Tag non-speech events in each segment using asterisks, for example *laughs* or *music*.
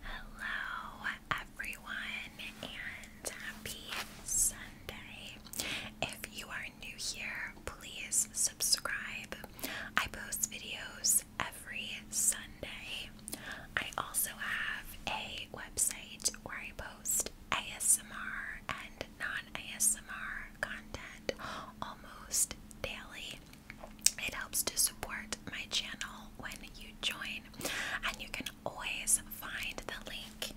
Hello, everyone, and happy Sunday. If you are new here, please subscribe. I post videos every Sunday. I also have a website where I post ASMR and non ASMR content almost daily. It helps to support my channel when you join, and you can always find the link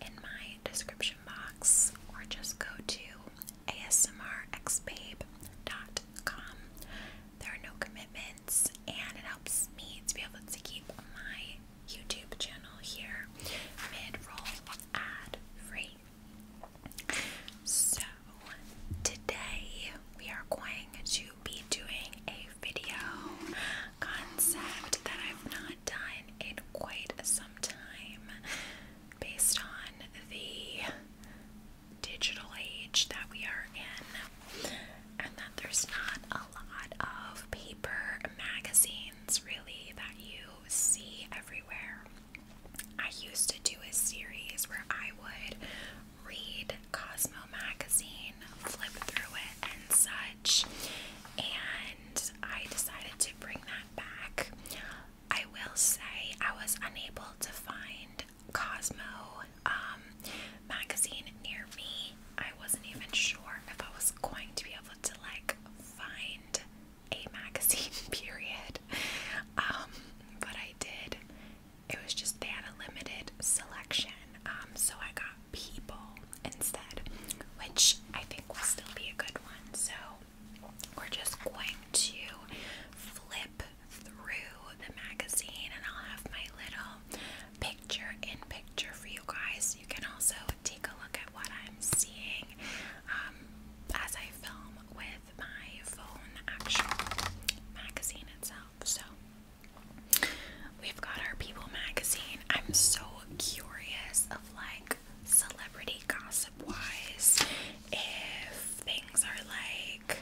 in my description box or just go to asmrxbabe.com. There are no commitments, and it helps me to be able to keep my YouTube channel here mid roll ad free. So, today we are going to be doing a video concept that I've not done in quite some time based on the digital age that we are in, and that there's not a lot of paper magazines really that you see everywhere. I used to do a series where I would read Cosmo magazine, flip through it, and such. And I decided to bring that back. I will say I was unable to find Cosmo um, magazine near me. I wasn't even sure if I was going to be able to like find a *laughs* magazine, period. Um, but I did, it was just they had a limited selection, um, so I got people instead, which I think will still be a good one. So we're just going to flip through the magazine, and I'll have my little picture in picture for you guys. You can also take a look at what I'm seeing um, as I film with my phone, The actual magazine itself. So we've got our People magazine. I'm so curious of like celebrity gossip wise if things are like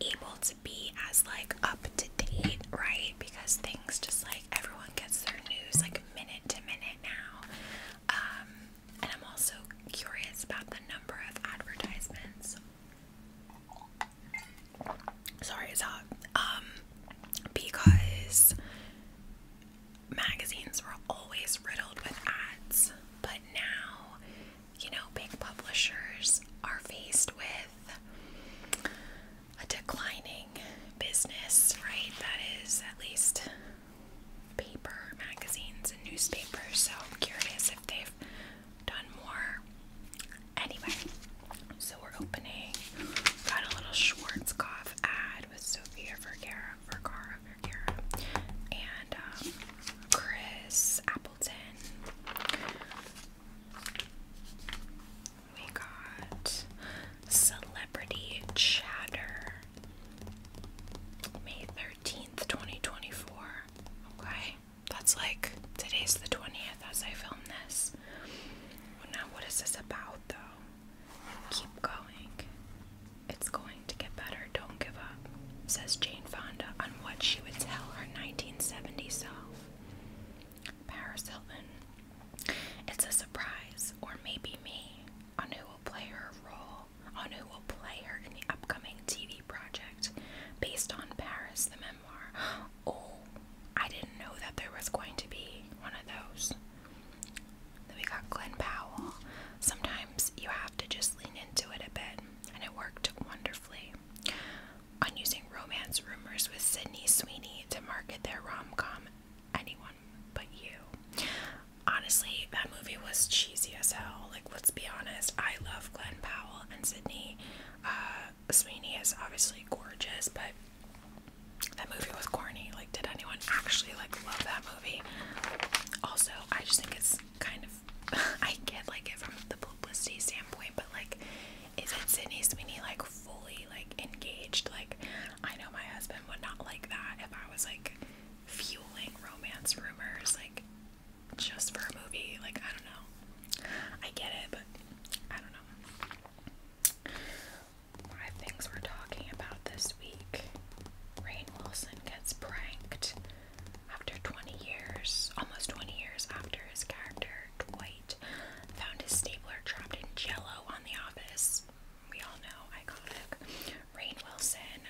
able to be as like up to date, right? Because things just like everyone gets their news like minute to minute now. Um, and I'm also curious about the number of advertisements sorry it's hot um, because magazines were always riddled with ads but now you know big publishers are faced with a declining business right that is at least paper magazines and newspapers so i'm curious if they've done more. Anyway, so we're opening. Got a little Schwarzkopf ad with Sophia Vergara, Vergara, Vergara, and um, Chris Appleton. We got Celebrity Chatter, May 13th, 2024. Okay that's like today's the 20th as I film this. now, what is this about though? Keep going. It's going to get better. Don't give up, says Jane Fonda on what she would tell her 1970 self. Paris Hilton. It's a surprise, or maybe me, on who will play her role, on who will play her in the upcoming TV project based on Paris, the memoir. *gasps* Oh, I didn't know that there was going to be one of those. Then we got Glenn Powell. Sometimes you have to just lean into it a bit, and it worked wonderfully. On using romance rumors with Sydney Sweeney to market their rom com, Anyone But You. Honestly, that movie was cheesy as hell. Like, let's be honest, I love Glenn Powell and Sydney. Uh, Sweeney is obviously gorgeous, but that movie was corny. Like, did anyone actually like love that movie? Also, I just think it's kind of *laughs* I get like it from the publicity standpoint, but like, is it Sydney Sweeney like fully like engaged? Like, I know my husband would not like that if I was like fueling romance rumors. Like, just for a movie. Like, I don't know. I get it, but I don't know. Five things we're talking about this week. Rain Wilson gets pranked after 20 years, almost 20 years after his character, Dwight, found his stapler trapped in jello on the office. We all know, iconic. Rain Wilson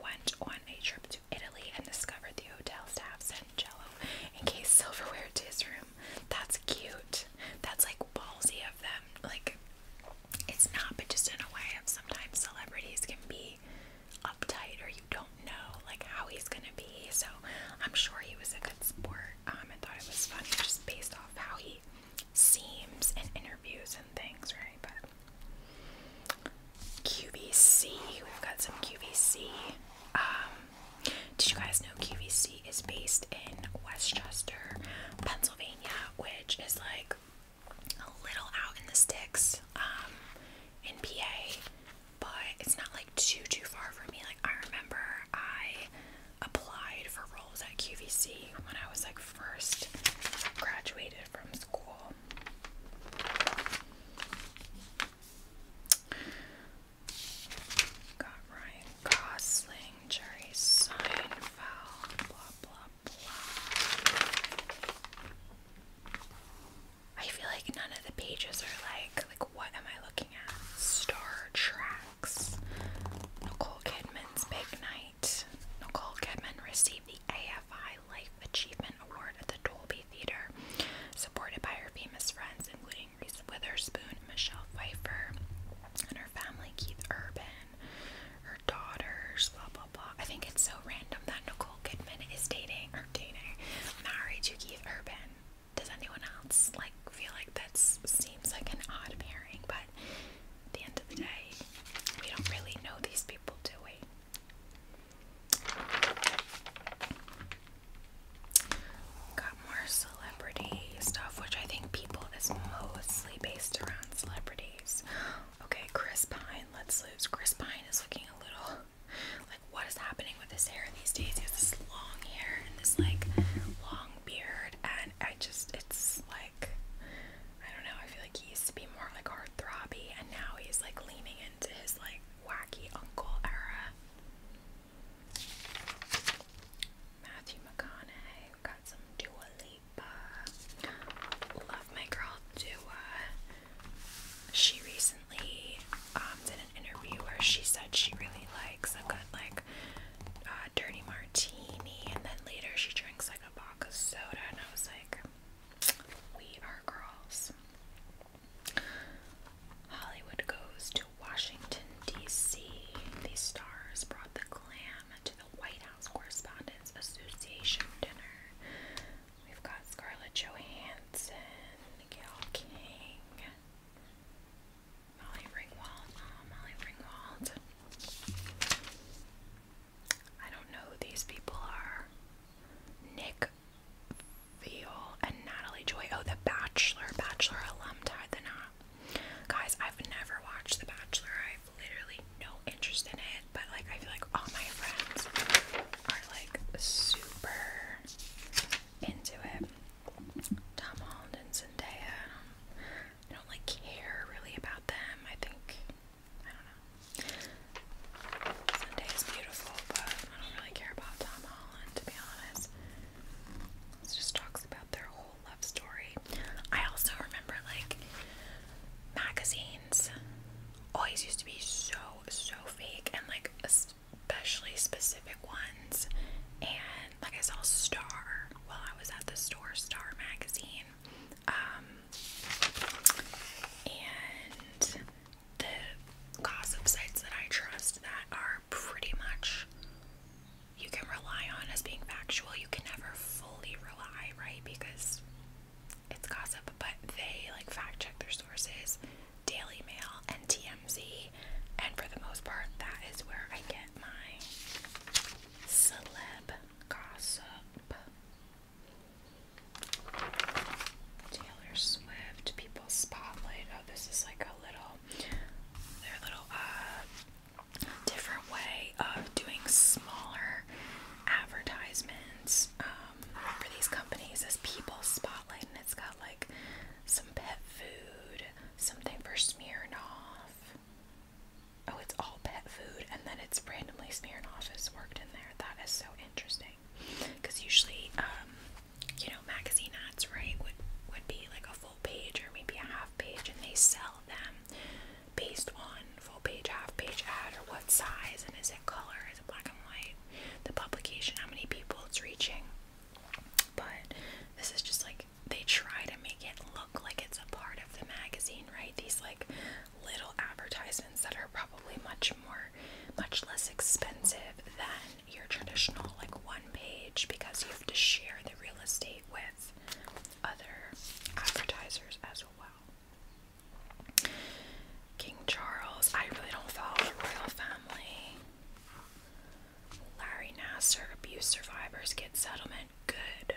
went on a trip to Italy and discovered the hotel staff said and jello encased silverware to his room. That's cute. That's like ballsy of them. Like, it's not, but just in a way of sometimes celebrities can be uptight or you don't know like how he's gonna be. So I'm sure he was a good sport. Um, I thought it was funny just based off how he seems in interviews and things, right? But QVC, we've got some QVC. Um, did you guys know QVC is based in Westchester, Pennsylvania, which is like a little out in the sticks um, in PA, but it's not like too too far from me. Like I remember I applied for roles at QVC when I was like first graduated from school. Got Ryan Gosling, Jerry Seinfeld, blah blah blah. I feel like none of the pages are like like what am I looking at? Star Tracks. Nicole Kidman's Big Night. Nicole Kidman received the AFI Life Achievement Award at the Dolby Theater, supported by her famous friends, including Reese Witherspoon, Michelle Pfeiffer, and her family, Keith Urban, her daughters, blah blah blah. I think it's so random that Nicole Kidman is dating or dating married to Keith Urban. Does anyone else like feel like that seems like an odd pairing? But at the end of the day, we don't really know these people, do we? Got more celebrity stuff, which I think people is mostly based around celebrities. Okay, Chris Pine, let's lose. Chris Pine is looking a little like what is happening with his hair these days? He has this long hair and this like long beard, and I just it's like I don't know. I feel like he used to be more like hard throbby, and now he's like leaning into his like wacky uncle era. Matthew McConaughey. got some Dua Lipa. Love my girl Dua. She recently um, did an interview where she said she really likes a good like uh, dirty martini, and then later she drinks like a box of soda, and I was like, we are girls. Hollywood goes to Washington, D.C. The stars brought the glam to the White House Correspondents Association dinner. We've got Scarlett Johansson, Gail King, Molly Ringwald. Uh, Molly Ringwald. I don't know who these people are. Nick Veal and Natalie Joy. Oh, The Bachelor. Bachelor alum tied the knot. Guys, I've never watched The Bachelor. I've literally no interest in it. But like, I feel like all my friends are like super into it. Tom Holland and Zendaya. I don't, I like care really about them. I think I don't know. Zendaya's beautiful, but I don't really care about Tom Holland on, to be honest. It just talks about their whole love story. I also remember like magazines always used to be so so fake and like especially specific ones. And like I saw Star while I was at the store, Star magazine. Um and the gossip sites that I trust that are pretty much you can rely on as being factual. You can never fully rely, right? Because it's gossip, but they like fact check their sources, Daily Mail and TMZ, and for the most part, that is where I get my celeb gossip. Taylor Swift, People Spotlight. Oh, this is like a little their little uh different way of doing smaller advertisements um for these companies as people spotlight and it's got like some pet food, something for Smirnoff. Oh, it's all pet food and then it's randomly Smirnoff is worked in there. That is so interesting. Because usually, um, you know, magazine ads, right, would would be like a full page or maybe a half page, and they sell them based on full page, half page ad, or what size, and is it color, is it black and white, the publication, how many people it's reaching. But this is just like they try to make it look like it's a part of the magazine, right? These like little advertisements that are probably much more, much less expensive than your traditional like one page because you have to share the real estate with other advertisers as well. King Charles, I really don't follow the royal family. Larry Nasser, abuse survivors get settlement. Good.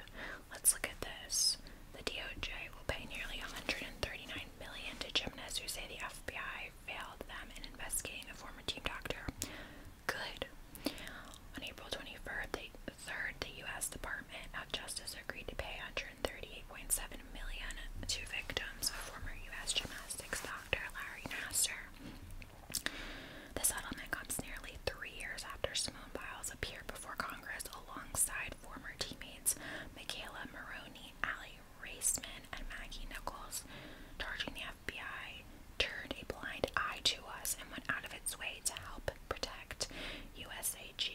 Let's look at this. The DOJ will pay nearly 139 million to gymnasts who say the FBI failed them in investigating a former team doctor. Good. On April 23rd, the, third, the U.S. Department of Justice agreed to pay 138.7 million to victims of former U.S. gymnastics doctor Larry Nasser. The settlement comes nearly three years after Simone Biles appeared before Congress alongside former teammates Michaela Maroney, Ali Raceman, and Maggie Nichols, charging the FBI turned a blind eye to us and went out of its way to help protect USAG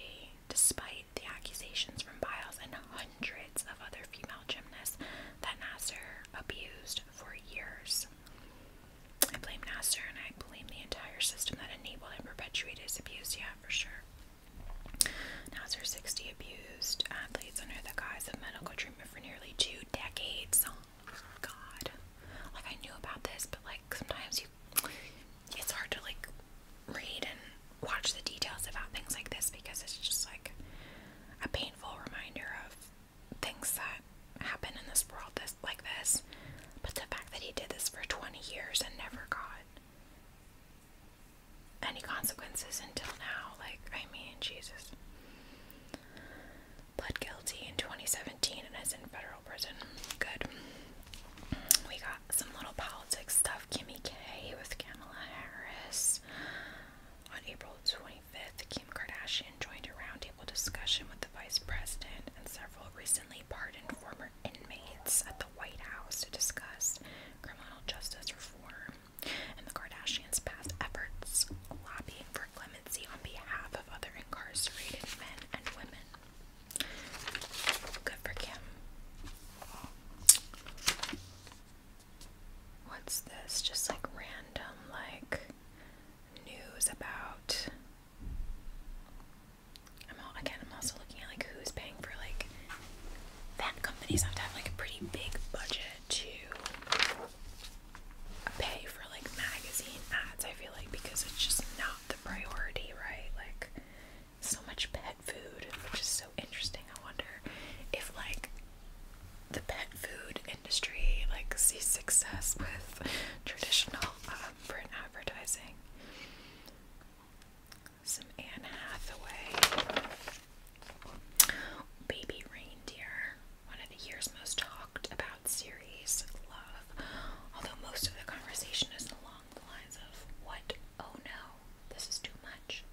despite the accusations from Biles and hundreds of other female gymnasts that Nasser abused for years. I blame Nasser and I blame the entire system that enabled and perpetuated his abuse, yeah, for sure. Nasser 60 abused athletes under the guise of medical treatment for nearly two decades. Oh, God. Like, I knew about this, but, like, sometimes you. It's hard to, like, read and watch the details about things like this because it's just, like, a painful reminder of things that happen in this world this, like this. But the fact that he did this for 20 years and never got any consequences until now. Like, I mean, Jesus. Pled guilty in 2017 and is in federal prison. Good. We got some little politics stuff. Kimmy K with Kamala Harris. On April 25th, Kim Kardashian joined a roundtable discussion with the vice president and several recently pardoned former inmates at the White House to discuss criminal justice reform and the Kardashians' past efforts lobbying for clemency on behalf of other incarcerated men and women. Good for Kim. What's this? Just like random, like news about. I'm all, again. I'm also looking at like who's paying for like that. Companies have to have like a pretty big budget to pay for like magazine ads, I feel like, because it's just not the priority, right? Like, so much pet food, which is so interesting. I wonder if, like, the pet food industry, like, sees success with traditional um, print advertising. Some Anne Hathaway. Baby Reindeer, one of the year's most talked about series, love. Although most of the conversation is along the lines of, what, oh no, this is too much.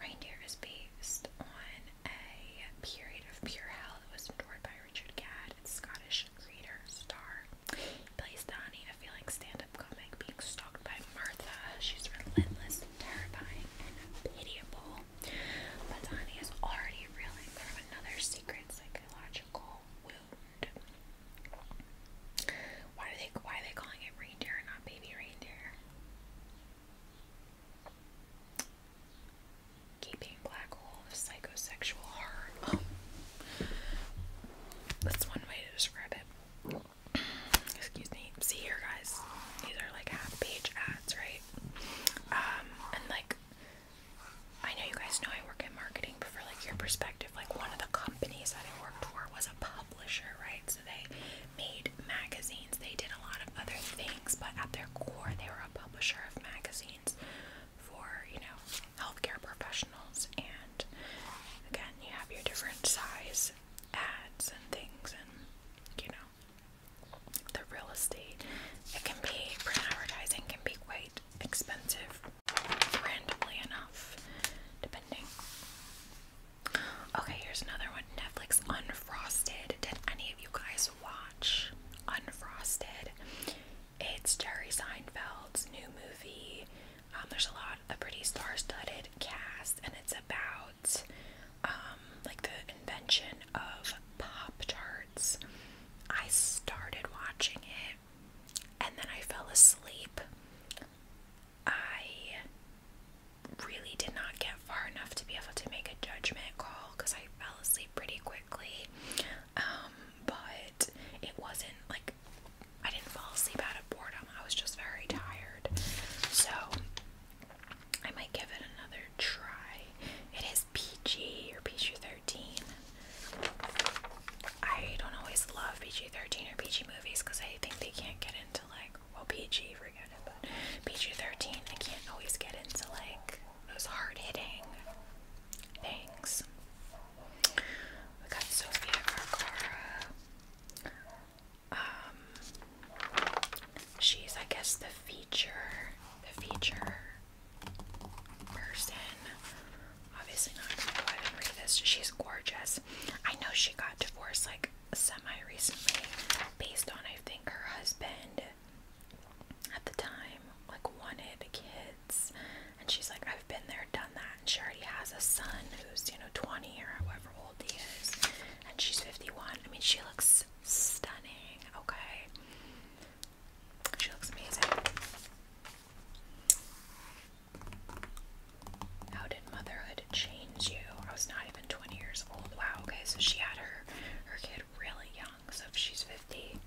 Reindeer is based on a period of pure hell that was endured by Richard Gadd, its Scottish creator, star. plays Donnie, a feeling stand up comic, being stalked by Martha. She's relentless, terrifying, pitiable. But Annie is already reeling from another secret psychological wound. Why are they why are they calling it reindeer and not baby reindeer? Keeping black hole of psychosexual horror. Oh. That's one way to describe it. Excuse me. See here, guys. These are like half-page ads, right? Um, and like, I know you guys know I work in marketing, but for like your perspective, like one of the companies that I worked for was a publisher, right? So they made magazines. They did a lot of other things, but at their core, they were a publisher of magazines for you know healthcare professionals. And again, you have your different size ads and things, and you know the real estate. It can be print advertising can be quite expensive, randomly enough, depending. Okay, here's another one. Netflix Unfrosted. Did any of you guys watch Unfrosted? It's Jerry Seinfeld's new movie. Um, there's a lot, a pretty star-studded cast, and it's about um, like the invention of Pop Tarts. I started watching it and then I fell asleep. I really did not get far enough to be able to make a judgment call because I fell asleep pretty quickly. Um, but it wasn't like I didn't fall asleep out of boredom, I was just very tired. So I might give it another try. It is PG or PG 13. I don't always love PG 13 or PG movies because I think they can't get into like, well, PG, forget it, but PG 13, I can't always get into like those hard hitting things. We got Sophia Vergara. Um, she's, I guess, the feature, the feature person. Obviously not gonna go ahead and read this. She's gorgeous. I know she got divorced like semi-recently, based on I think her husband at the time like wanted kids, and she's like, I've been there, done that, and she already has a son who's you know 20 or however old he is, and she's 51. I mean, she looks stunning, okay? She looks amazing. How did motherhood change you? I was not even 20 years old. Wow, okay, so she had her her kid really young, so if she's 50,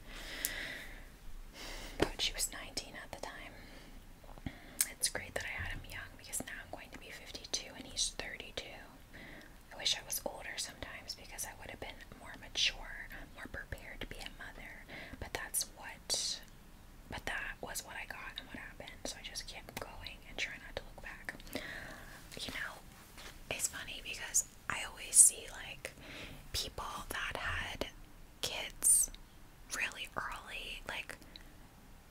but she was 19 at the time. It's great that I had him young because now I'm going to be 52 and he's 32. I wish I was older sometimes because I would have been more mature, more prepared to be a mother. But that's what, but that was what I got and what happened. So I just kept going and try not to look back. You know, it's funny because I always see like people that had kids really early, like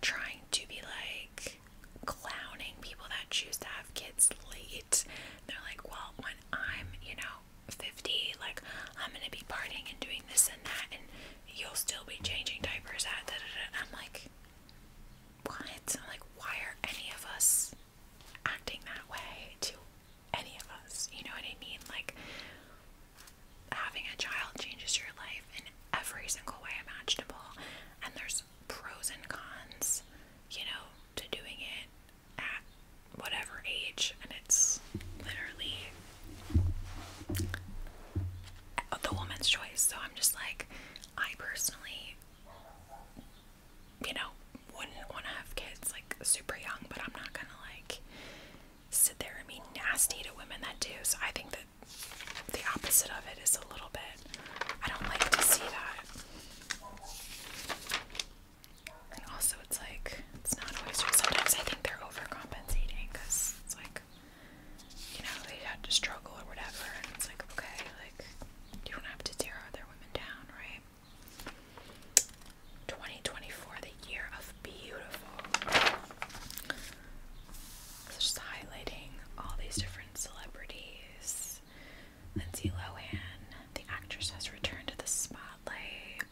trying to be like clowning people that choose to have kids late. They're like, well, when I'm, you know, 50, like, I'm gonna be partying and doing this and that, and you'll still be changing diapers at da da da. I'm like, what? I'm like, why are any of us acting that way to any of us? You know what I mean? Like, having a child changes your life in every single way imaginable, and there's there's pros and cons, you know, to doing it at whatever age, and it's literally the woman's choice. So I'm just like, I personally, you know, wouldn't want to have kids like super young, but I'm not gonna like sit there and be nasty to women that do. So I think that the opposite of it is a little bit I don't like to see that. And also, it's like, it's not always Sometimes I think they're overcompensating because it's like, you know, they had to struggle or whatever. And it's like, okay, like, you don't have to tear other women down, right? 2024, the year of beautiful. just highlighting all these different celebrities Lindsay Lohan. The actress has returned to the spotlight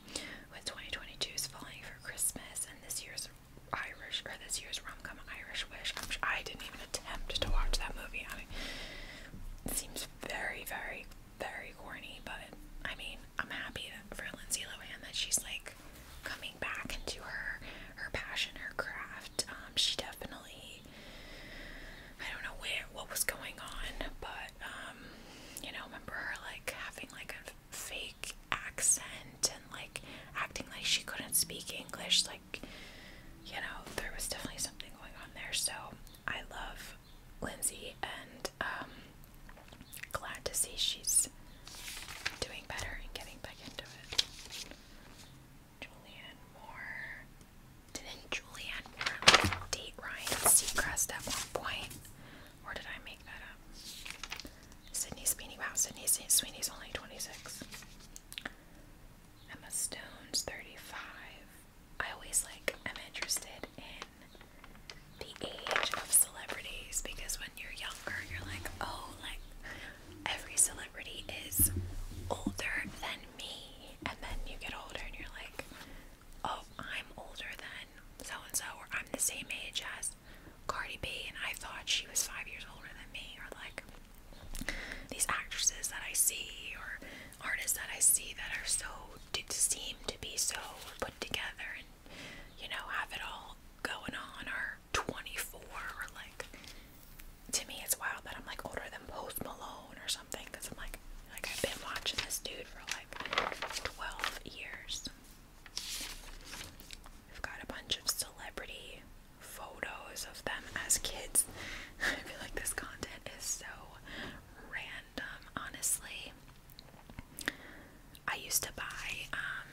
with 2022's Falling for Christmas and this year's Irish or this year's rom-com Irish Wish. i I didn't even attempt to watch that movie. I mean, it seems very, very, very corny, but I mean, I'm happy that for Lindsay Lohan that she's like coming back into her her passion, her craft um, she definitely, I don't know where, what was going on, but, um, you know, remember her, like, having, like, a fake accent and, like, acting like she couldn't speak English, like, you know, there was definitely something going on there, so I love Lindsay, and, um, glad to see she's doing better and getting back into it. Julian Moore. Didn't Julianne Moore date Ryan Seacrest at one point? Or did I make that up? Sydney Sweeney. Wow, Sydney Sweeney's only 26. Emma Stone's 35. I always like, I'm interested in the age of celebrities because when you're younger, you're like, oh, like every celebrity is older than me, and then you get older and you're like, oh, I'm older than so and so, or I'm the same age as Cardi B, and I thought she was five years older than me, or like these actresses that I see, or artists that I see that are so seem to be so put together and you know have it all going on, or 24, or like to me it's wild that I'm like older than Post Malone or something because I'm like like I've been watching this dude for like 12 years. I've got a bunch of celebrity photos of them as kids. *laughs* I feel like this content is so random, honestly. I used to buy um,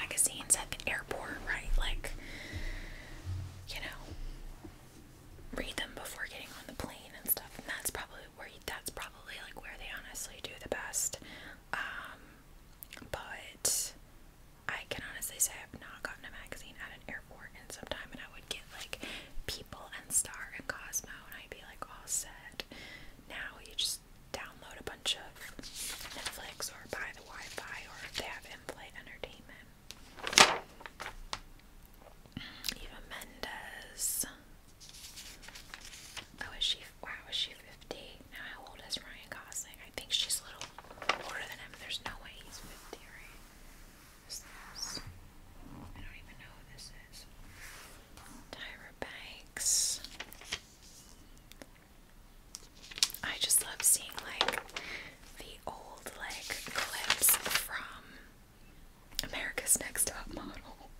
magazines at the airport, right? Like, you know, read them before getting on the plane and stuff. And that's probably where that's probably like where they honestly do the best. Um, but I can honestly say I've not gotten a magazine at an airport in some time, and I would get like People and Star and Cosmo, and I'd be like all set. Now you just download a bunch of Netflix or buy the Wi-Fi, or they have in-flight entertainment. Eva Mendes. Oh, is she? Wow, is she 50? Now, how old is Ryan Gosling? I think she's a little older than him. There's no way he's 50, right? Who's this? I don't even know who this is. Tyra Banks. I just love seeing like the old like clips from America's Next Top Model.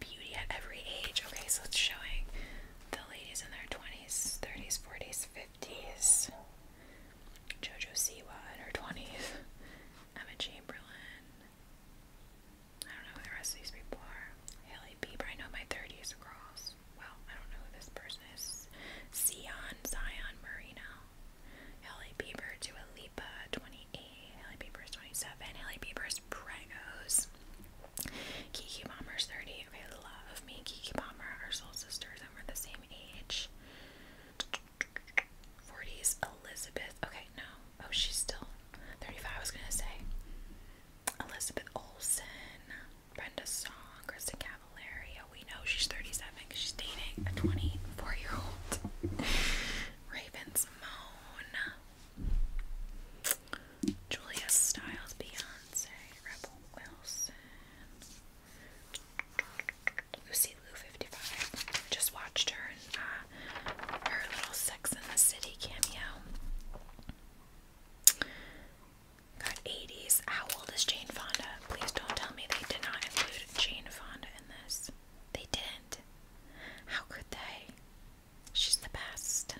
Beauty at every age. Okay, so it's showing the ladies in their 20s, 30s, 40s, 50s. Jojo Siwa in her 20s. Emma Chamberlain. I don't know who the rest of these people are. Haley Bieber, I know my 30s across. Well, I don't know who this person is. Sion, Zion Marino. Haley Bieber, Dua Lipa, 28. Haley Bieber 27. Haley Bieber is Pregos. Kiki Palmer's 30. Okay, love me. Kiki Palmer are soul sisters and we're the same age. 40s, Elizabeth. Okay, no. Oh, she's still 35, I was gonna say. Elizabeth Olson. Brenda Song, Kristen Cavalaria. Oh, we know she's 37 she's dating a 24 year old. *laughs* Raven Simone, Julia Stiles, Beyonce, Rebel Wilson, Lucy Lou 55. Just watched her uh, her little Sex in the City cameo. Got 80s. How old is Jane Fonda? Please don't tell me they did not include Jane Fonda in this. They didn't. How could they? She's the best.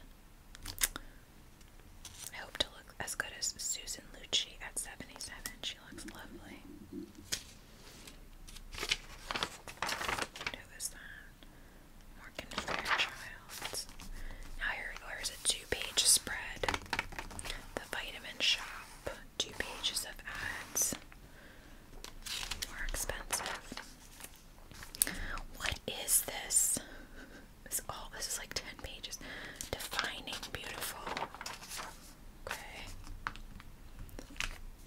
I hope to look as good as Susan Lucci at 77. She looks lovely. Who is that? Morgan Fairchild. Now, here, or is it two page spread, the vitamin shop, two pages of ads, more expensive. What is this? This all this is like ten pages. Defining beautiful. Okay.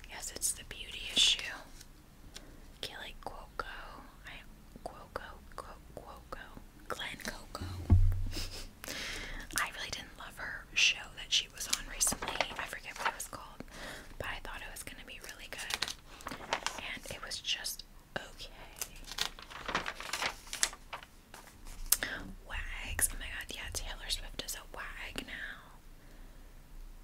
Yes, it's the beauty issue. Kelly Cuoco. I Cuoco, Cuoco, Coco. *laughs* I really didn't love her show that she was on recently. I forget what it was called, but I thought it was going to be really good. And it was just okay. Wags. Oh my god, yeah, Taylor Swift is a wag now.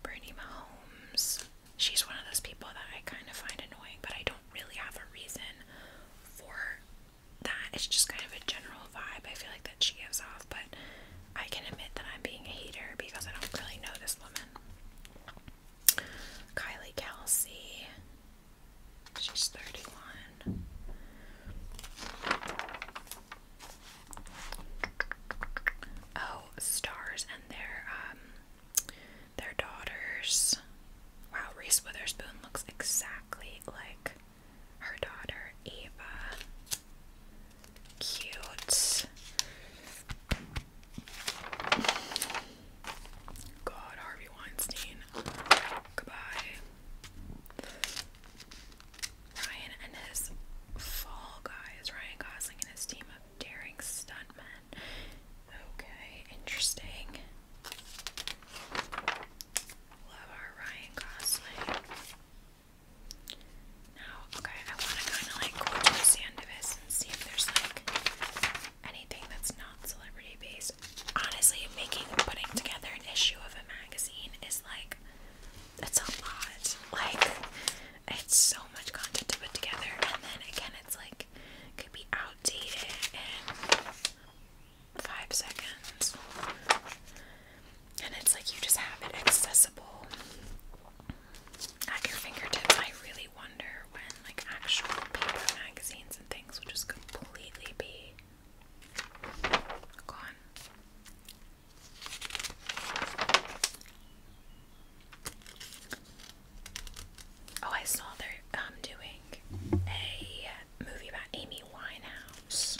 Brittany Mahomes. She's one of those people that I kind of find annoying, but I don't really have a reason for that is just kind of a general vibe I feel like that she gives off, but I can admit that I'm being a hater because I don't really know this woman. Kylie Kelsey, she's 31. Oh, stars and their um their daughters. Wow, Reese Witherspoon looks exactly like her daughter Eva. Cute. God, Harvey Weinstein. Goodbye. Ryan and his fall guys. Ryan Gosling and his team of daring stuntmen. Okay, interesting. Love our Ryan Gosling. Now, okay, I want to kind of like go to the end of this and see if there's like anything that's not celebrity based. Honestly, making putting together an issue of a magazine is like that's a lot. Like it's so much content to put together, and then again, it's like could be outdated and five seconds. And it's like you just have it accessible at your fingertips. I really wonder when like actual paper magazines and things will just completely be gone. Oh, I saw they're um, doing a movie about Amy Winehouse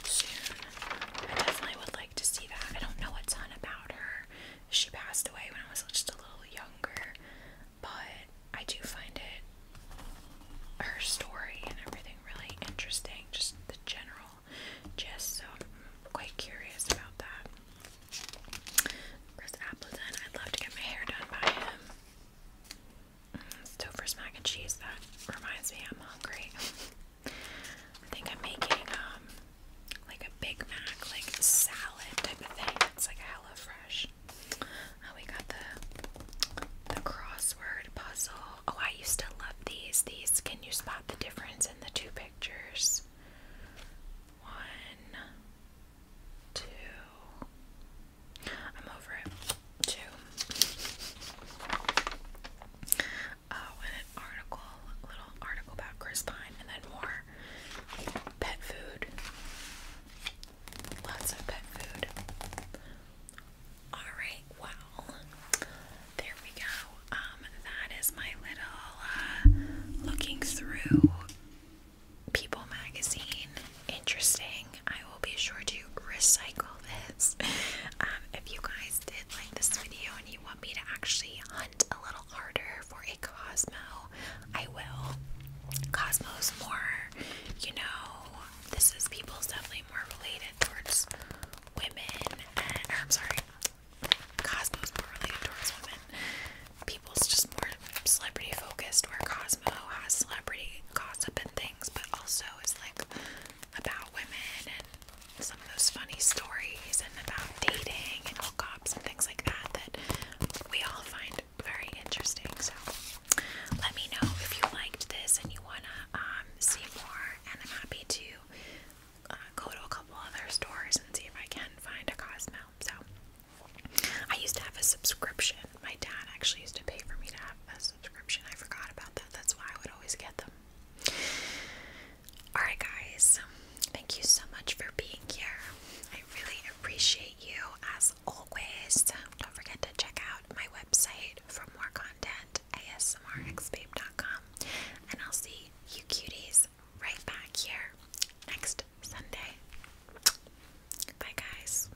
I definitely would like to see that. I don't know a ton about her. She passed away when I was just a little younger, but I do find it her story and everything really interesting, just the general gist. So I'm quite curious about that. Chris Appleton, I'd love to get my hair done by him. Stouffer's mac and cheese. That reminds me, I'm hungry. I think I'm making um like a Big Mac, like salad type of thing. It's like a hella fresh. Oh, we got the the crossword puzzle. Oh, I used to love these. These can you spot the difference in the two pictures? One, two, I'm over it too. Oh, an article, little article about Chris and then more pet food. Lots of pet food. Alright, well, there we go. Um, that is my little uh, looking through People magazine interesting. I will be sure to recycle this. *laughs* Um, if you guys did like this video and you want me to actually hunt a little harder for a Cosmo, I will. Cosmo's more, you know, this is people's definitely more related towards women. And, or I'm sorry, Cosmo's more related towards women. People's just more celebrity focused, where Cosmo has celebrity gossip and things, but also is like about women and some of those funny stories and about dating and hookups and things like that that we all find very interesting. So let me know if you liked this and you wanna um, see more, and I'm happy to uh, go to a couple other stores and see if I can find a Cosmo. So I used to have a subscription my dad actually used to pay for me to have a subscription. I forgot about that. That's why I would always get them. Alright, guys, thank you so much for being here. I really appreciate you as always. Don't forget to check out my website for more content asmrxbabe.com. And I'll see you cuties right back here next Sunday. Bye, guys.